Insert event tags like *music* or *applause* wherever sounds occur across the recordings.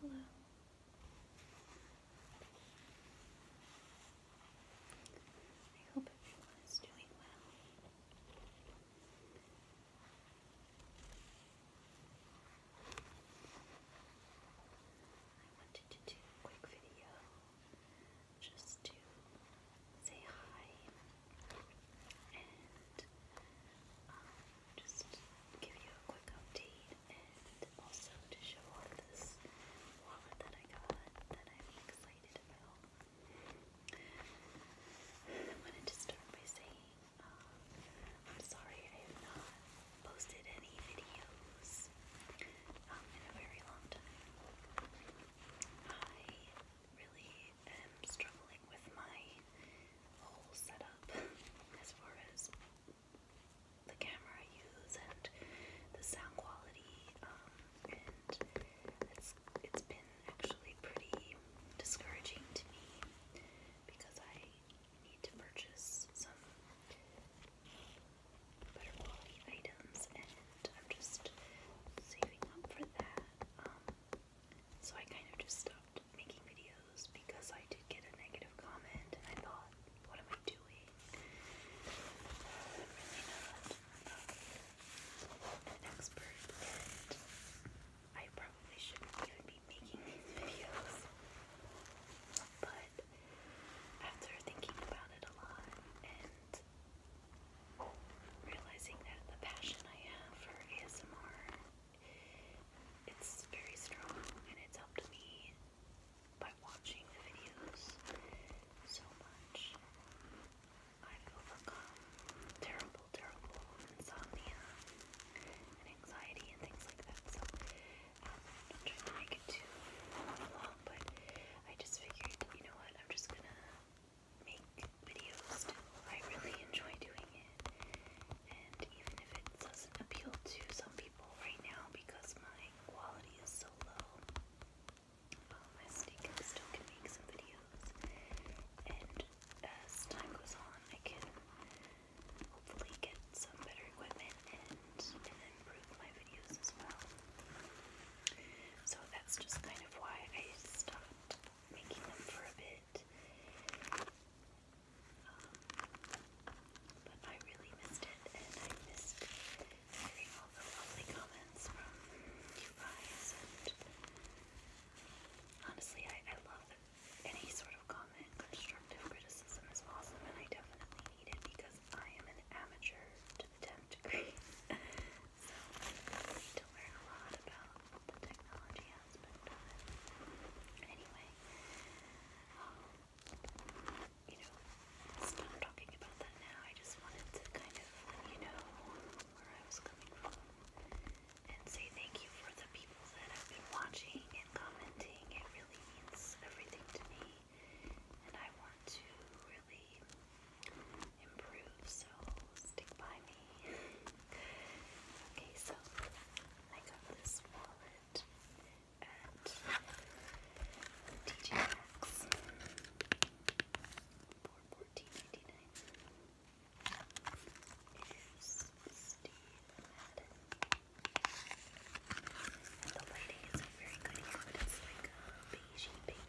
Hello. I hope everyone is doing well. I wanted to do a quick video just to say hi and um, just give you a quick update and also to show off this wallet that I got that I'm excited about. I wanted to start by saying um, I'm sorry I have not posted any videos um, in a very long time. I really am um, struggling with my whole setup *laughs* as far as the camera I use and the sound quality, um, and it's it's been actually pretty discouraging to me because I need to purchase some better quality items, and I'm just saving up for that. Um, so I kind of just stopped making videos because I did get a negative comment and I thought, what am I doing? I'm really not an expert and I probably shouldn't even be making videos. But after thinking about it a lot and realizing that the passion I have for ASMR, it's very strong and it's helped me by watching videos so much. I've overcome terrible, terrible insomnia and anxiety and things like that. So um, trying to make it too long, but I just figured, you know what, I'm just gonna make videos I really enjoy doing it. And even if it doesn't appeal to some people right now because my quality is so low, um, I still can, make some videos. And as time goes on, I can hopefully get some better equipment and improve my videos as well. So that's just kind of why I stopped making them for a bit. Um, but I really missed it, and I missed hearing all the lovely comments from you guys. And honestly, I love any sort of comment. Constructive criticism is awesome, and I definitely need it because I am an amateur to the 10th degree. *laughs* So to learn a lot about the technology aspect of it. Anyway, um, you know, stop talking about that now. I just wanted to kind of you know where I was coming from and say thank you for the people that have been watching and commenting. It really means everything to me. And I want to really improve, so stick by me. *laughs* okay, so I got this wallet at TJ Maxx for fourteen ninety nine. Here's Steve Madden. the lighting isn't very good here, but it's pink.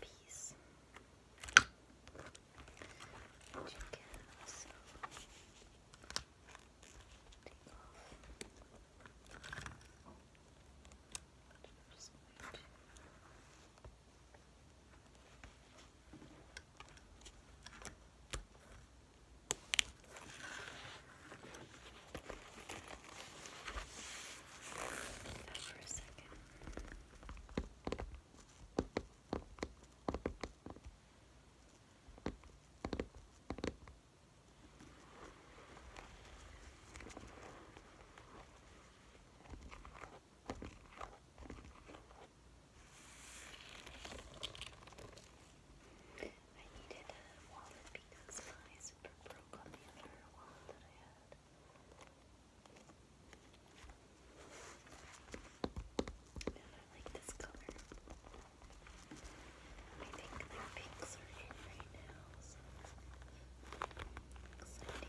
Peace. Which you take off. Just going for a second. I needed a uh, wallet because my zipper broke on the other wallet that I had. Yeah, I like this color. I think my pinks are in right now, so exciting.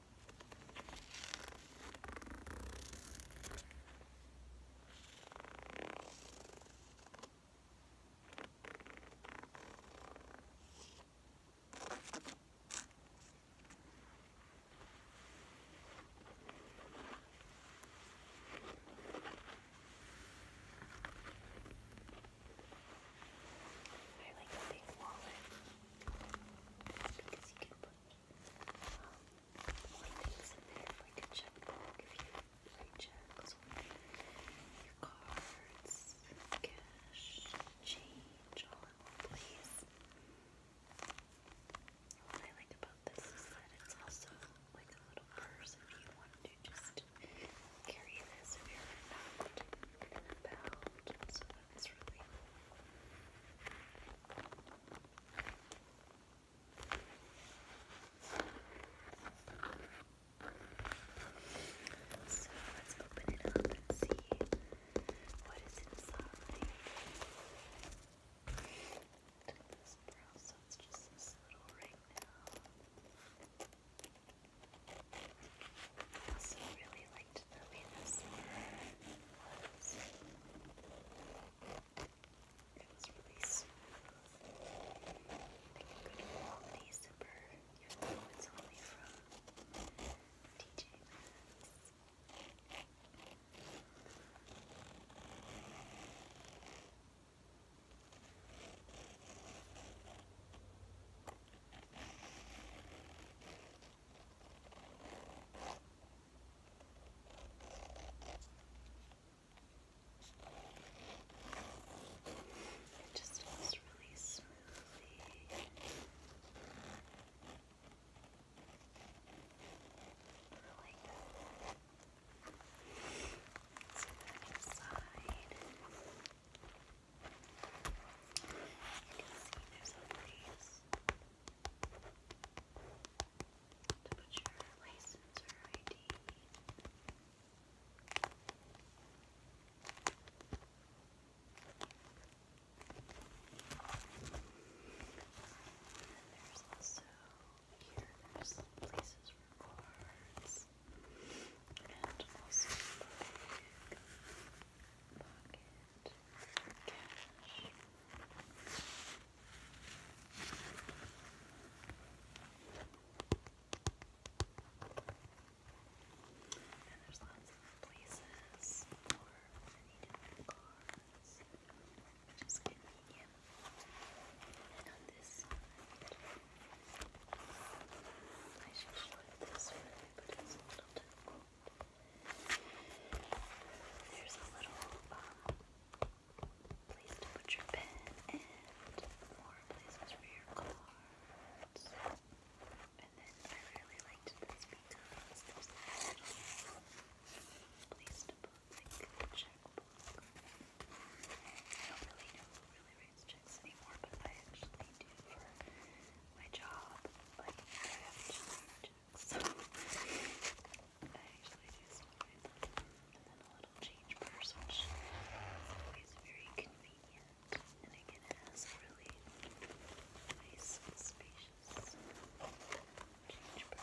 I like a big wallet because you can put um, things in there if we could check back you write checks your cards, cash, change, all in one place. What I like about this is that it's also like a little purse if you want to just carry this if you're not about, so that's really so let's open it up and see what is inside. this brow, so just this little ring I also really like liked the really smooth. Like a good quality zipper, even though it's only from TJ it just feels really smoothly. Really good. Let's go inside. You there's a place to put your license ID. And there's also here there's places for cards and also like pocket And there's lots of places for many different cards, which convenient. And on this I should show you this one, but it's a little difficult there's a little um, place to put your pen and more places for your cards. And then I really liked this because there's a little place to put like a checkbook. I don't really know who really writes checkbooks projects anymore, but I actually do for my job. Like, I have two projects, so *laughs* I actually do some of them. And then a little change purse, which is very convenient. And again, it has really nice, spacious change purse with nylon interior.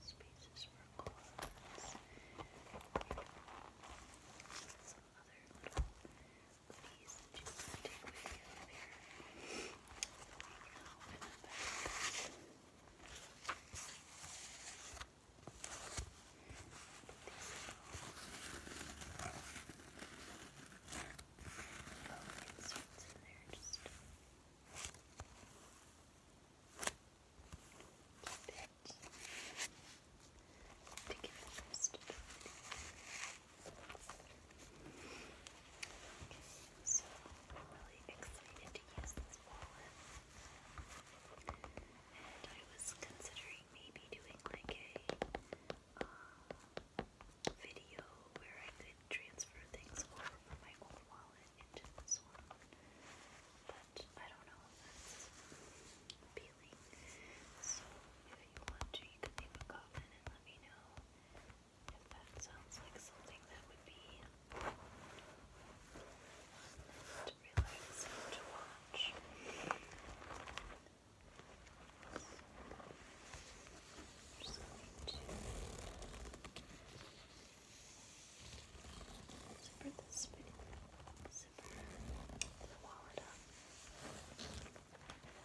spaces for cards, some other little goodies that you want to take with you over there. Oh, it's in there just. Just Keep it. so I'm really excited to use this wallet. And I was considering maybe doing like a uh, video where I could transfer things over from my old wallet into this one. But I don't know if that's appealing. So if you want to, you can leave a comment and let me know if that sounds like something that would be relaxing to watch. i Zipper this bit. Zipper. And then wall it up. There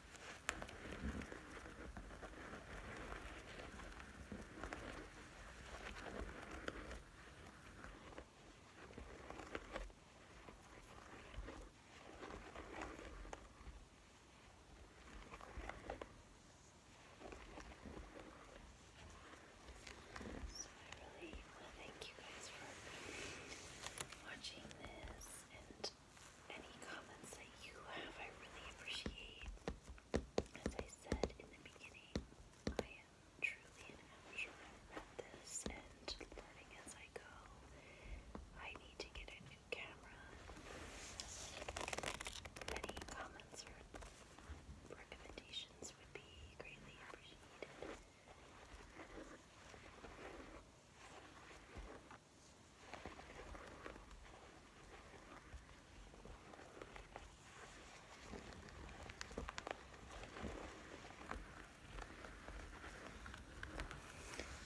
So I really want to thank you guys for watching this and any comments that you have, I really appreciate. As I said in the beginning, I am truly an amateur this and learning as I go. I need to get a new camera. Any comments or recommendations would be greatly appreciated.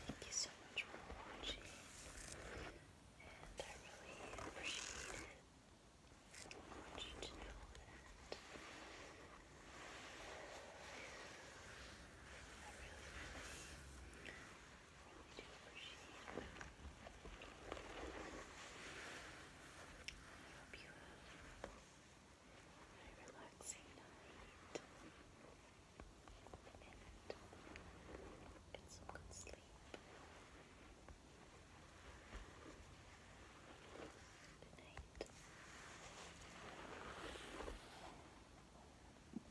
Thank you so much for watching, and I really appreciate it. I want you to know that I really, really hope you have a relaxing night and get some good sleep. Good night.